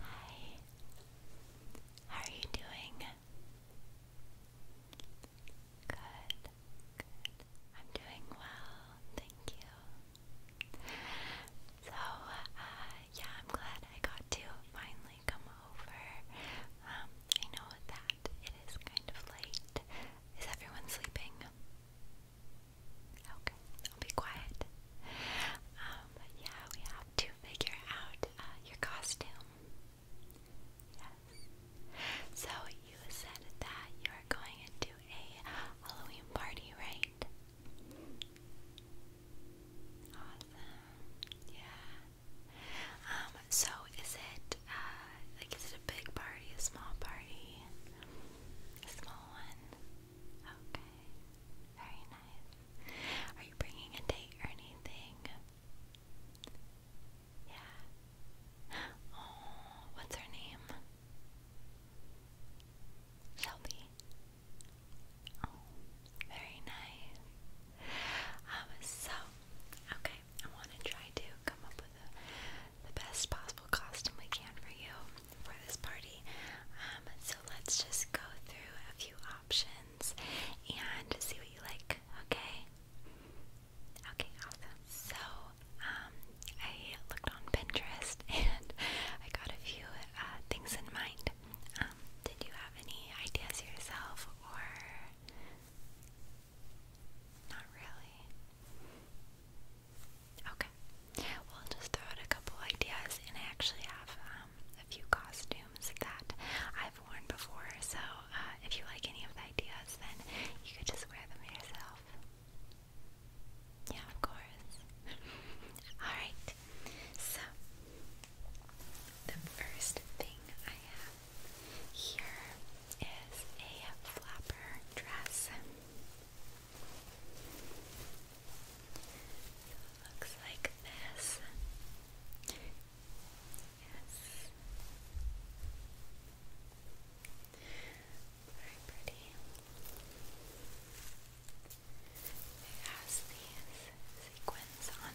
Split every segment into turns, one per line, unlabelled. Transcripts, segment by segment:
Hi. How are you doing? Good. Good. I'm doing well. Thank you. So, uh, yeah, I'm glad I got to finally come over. Um, I know that it is kind of late. Is everyone sleeping? Okay, I'll be quiet. Um, yeah, we have to figure out uh, your costume. Yes. So you said that you are going into a Halloween party, right? Awesome. Yeah. Um, so is it uh like is it a big party, a small party? A small one? Okay. Very nice. Are you bringing a date or anything? Yeah. Oh, what's her name? Shelby. Oh, very nice. Um, so, okay, I want to try to come up with the best possible costume we can for you for this party. Um, so let's just go through a few options and see what you like, okay? Okay, awesome. So, um, I looked on Pinterest and I got a few uh, things in mind. Um, did you have any ideas yourself or not really. Okay. Well, I'll just throw out a couple ideas, and I actually have um, a few costumes that I've worn before, so uh, if you like any of the ideas, then you could just wear them yourself. Yeah, of course. Alright, so the first thing I here is a flapper dress. it looks like this. Yes. Very pretty. It has these sequins on it.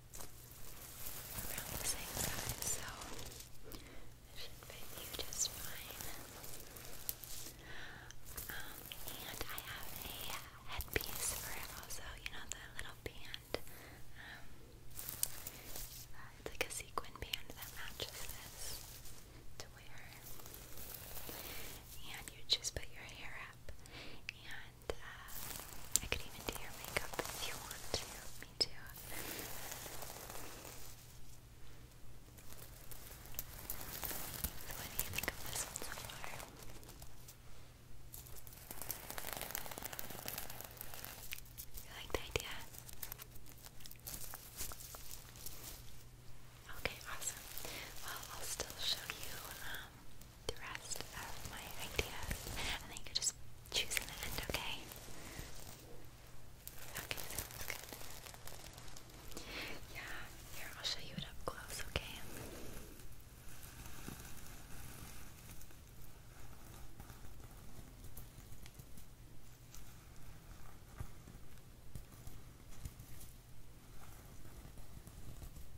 around the same size, so it should fit you just fine. and I have a headpiece for it also, you know, the little band. it's like a sequin band that matches this to wear. And you just put your hair up and uh, I could even do your makeup if you want to. Me too. do you think of this one You like the idea? Okay, awesome. Well, I'll still show you um, the rest of my ideas, and then you just choose in the end, okay? Okay, sounds good. Yeah, here, I'll show you it up close, Okay,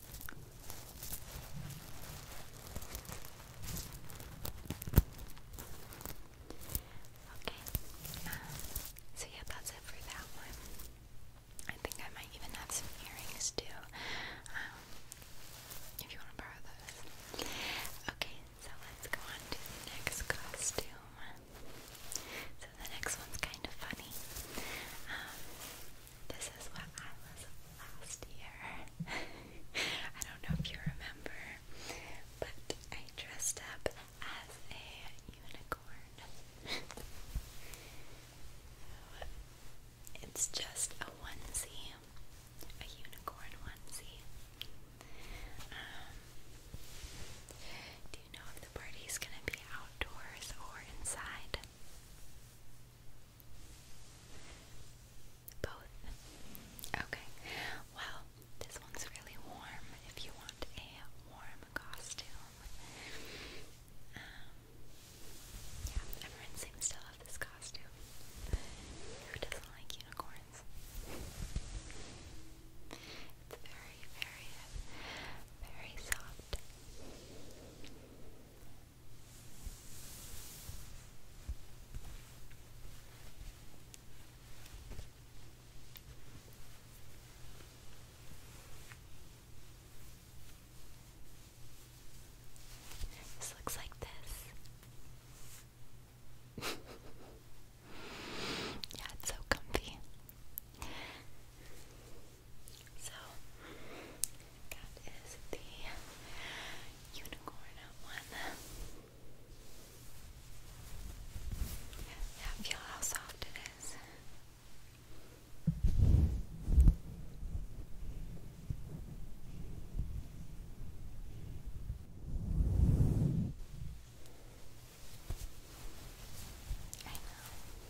Okay, uh, so yeah, that's it for that one. I think I might even have some earrings too, um, if you want to borrow those. Okay, so let's go on to the next costume. So the next one's kind of funny. Um, this is what I was last year. I don't know if you remember, but I dressed up as a unicorn. it's just a onesie, a unicorn onesie. Um, do you know if the party's gonna be outdoors or inside? Both. Okay. Well, this one's really warm if you want a warm costume. Um, yeah, everyone seems to love this costume. Who doesn't like unicorns? It's very, very, very soft. This looks like this. yeah, it's so comfy. So that is the unicorn one. feel how soft it is. I know.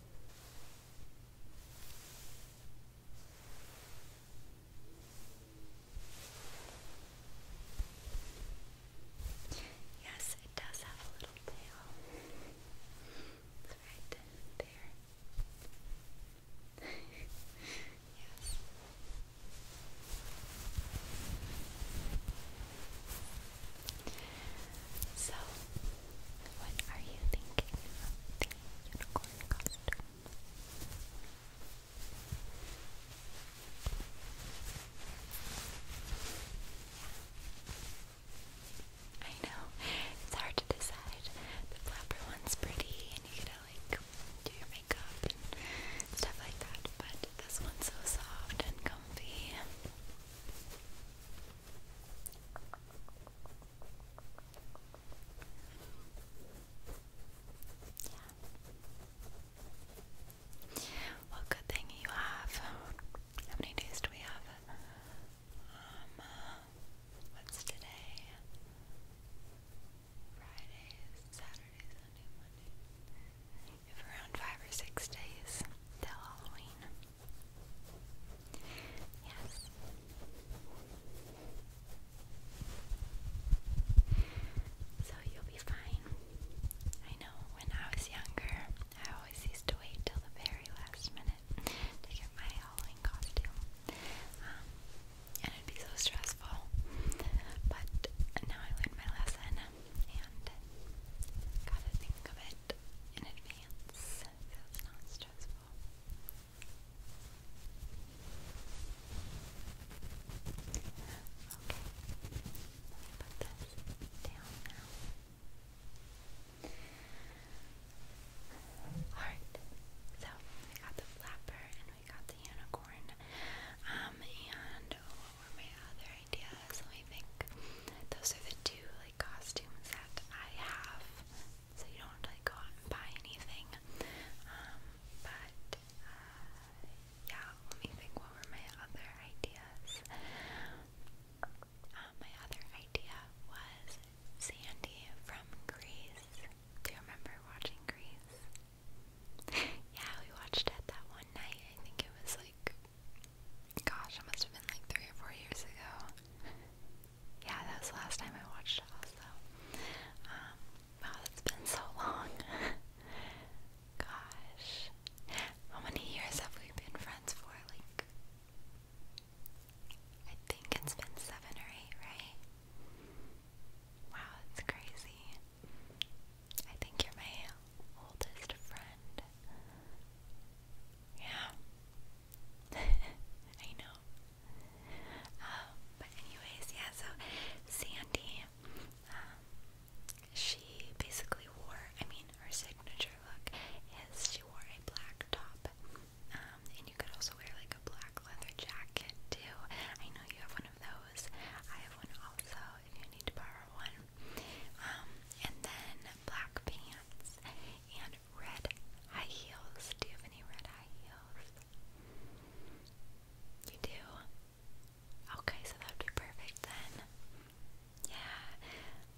Yes, it does have a little tail. It's right there. yes. So, what are you thinking of the unicorn costume? I know, it's hard to decide. The flapper one's pretty and you gotta like do your makeup and stuff like that, but this one's so soft and comfy. Yeah. good thing you have. How many days do we have? Um, uh, what's today? Friday, Saturday, Sunday, Monday around five or six days till Halloween. Yes. So you'll be fine. I know when I was younger, I always used to wait till the very last minute to get my Halloween costume. Um, and it'd be so stressful. But now I learned my lesson and gotta think of it in advance so it's stressful. Okay, put this down now. Alright, so we got the flapper and we got the unicorn. Um, and what were my other idea. So I think those are the two like costumes that I have. So you don't like, go out and buy anything. Um, but uh, yeah, let me think. What were my other ideas? Uh, my other idea was Sandy from Greece. Do you remember watching Greece? yeah, we watched it that one night. I think it was like Gosh, it must have been like three or four years ago. Yeah, that was the last time I watched it also. Um, wow, that's been so long. Gosh. How many years have we been friends for? Like I think it's been seven or eight, right? Wow, it's crazy. I think you're my oldest friend. Yeah. I know. Um, but anyways, yeah, so Sandy, um, she basically wore, I mean, her signature look is she wore a black top. Um, and you could also wear like a black leather jacket too. I know you have one of those. I have one also if need to borrow one. Um, and then black pants and red high heels. Do you have any red high heels? You do? Okay, so that would be perfect then. Yeah.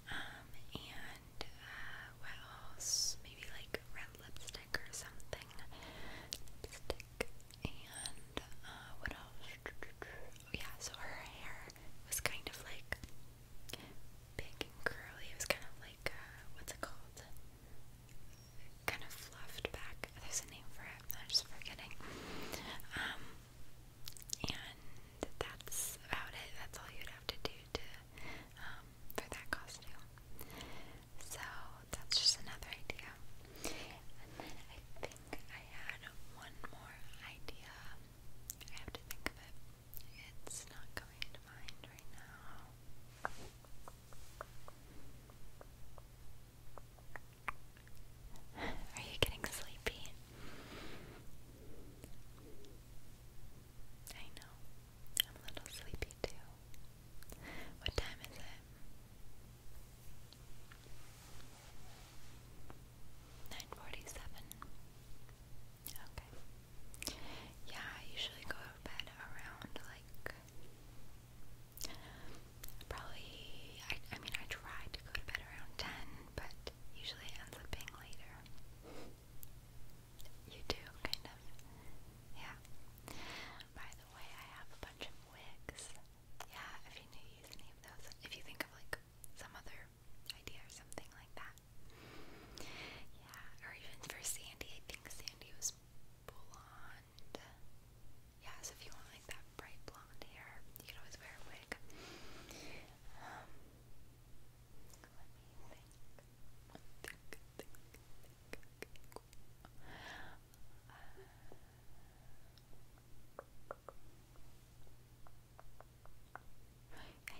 Um, and uh, what else? Maybe like red lipstick or something. Lipstick, and uh, what else? Yeah, so her hair was kind of like big and curly. It was kind of like, uh, what's it called? Kind of fluffed back. There's a name for it. I'm just forgetting. Um, and that's about it. That's all you'd have to do to um, for that costume. So that's just another idea. And then I think I had one more idea. I have to think of it. It's not coming to mind right now. Are you getting sleepy? I know. I'm a little sleepy too. What time is it? 947. Okay. Yeah, I usually go to bed around like probably I I mean I try to go to bed around 10, but usually it ends up being later. You do kind of. Yeah. By the way, I have a bunch of wigs yeah, if you knew use any of those, if you think of like some other idea or something like that. Yeah, or even for Sandy, I think Sandy was blonde. Yeah, so if you want like that bright blonde hair, you could always wear a wig. Um, let me think. Think, think, think. Yeah,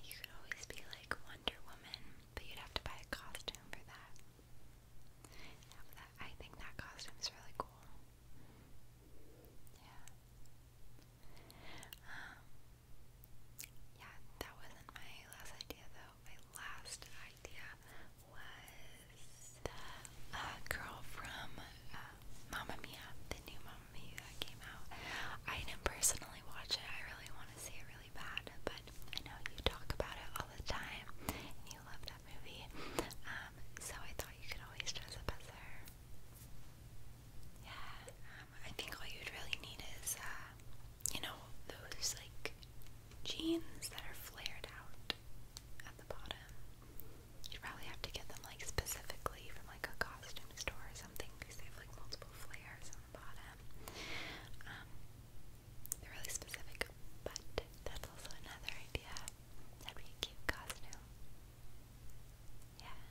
you could always be like Wonder Woman, but you'd have to buy a costume for that. Yeah, that I think that costume is really cool. Yeah. Um, yeah, that wasn't my last idea though my last idea was the uh, girl from uh, Mamma Mia, the new Mamma Mia that came out. I didn't personally watch it, I really want to see it really bad, but I know you talk about it all the time and you love that movie, um, so I thought you could always dress up as her. Yeah, um, I think all you'd really need is, uh, you know, those like jeans that are flared out at the bottom. You'd probably have to get them like specifically from like a costume store or something because they have like multiple flares on the bottom. Um, they're really specific, but that's also another idea. That'd be a cute costume. Yeah.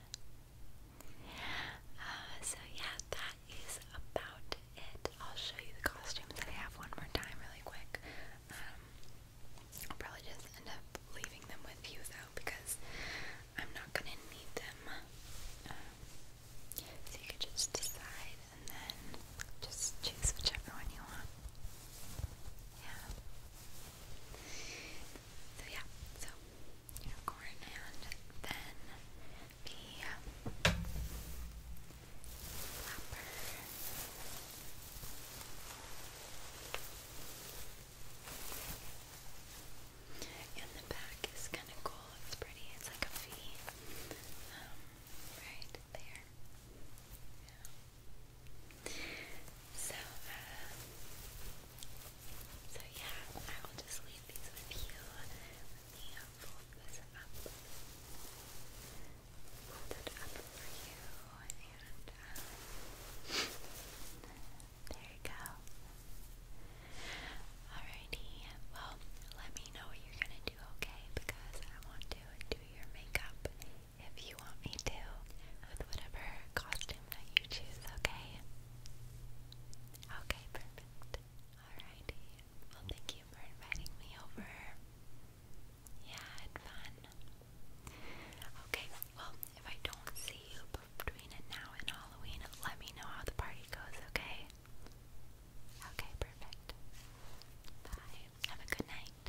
Uh, so yeah, that that is about it. I'll show you the costumes that I have one more time, really quick. Um, I'll probably just end up leaving them with you though, because I'm not gonna need them. Um, so you could just decide and then just choose whichever one you want. Yeah. So yeah, so unicorn and then and the back is kind of cool. It's pretty. It's like a V. Um, right there. Yeah. So, uh, so yeah, I will just leave these with you there you go. Alrighty, well, let me know what you're gonna do, okay? Because I want to do your makeup if you want me to, with whatever costume that you choose, okay? Okay, perfect. Alrighty. Well, thank you for inviting me over. Yeah, had fun. Okay, well, if I don't see you between now and Halloween, let me know how the party goes, okay? Okay, perfect. Bye. Have a good night.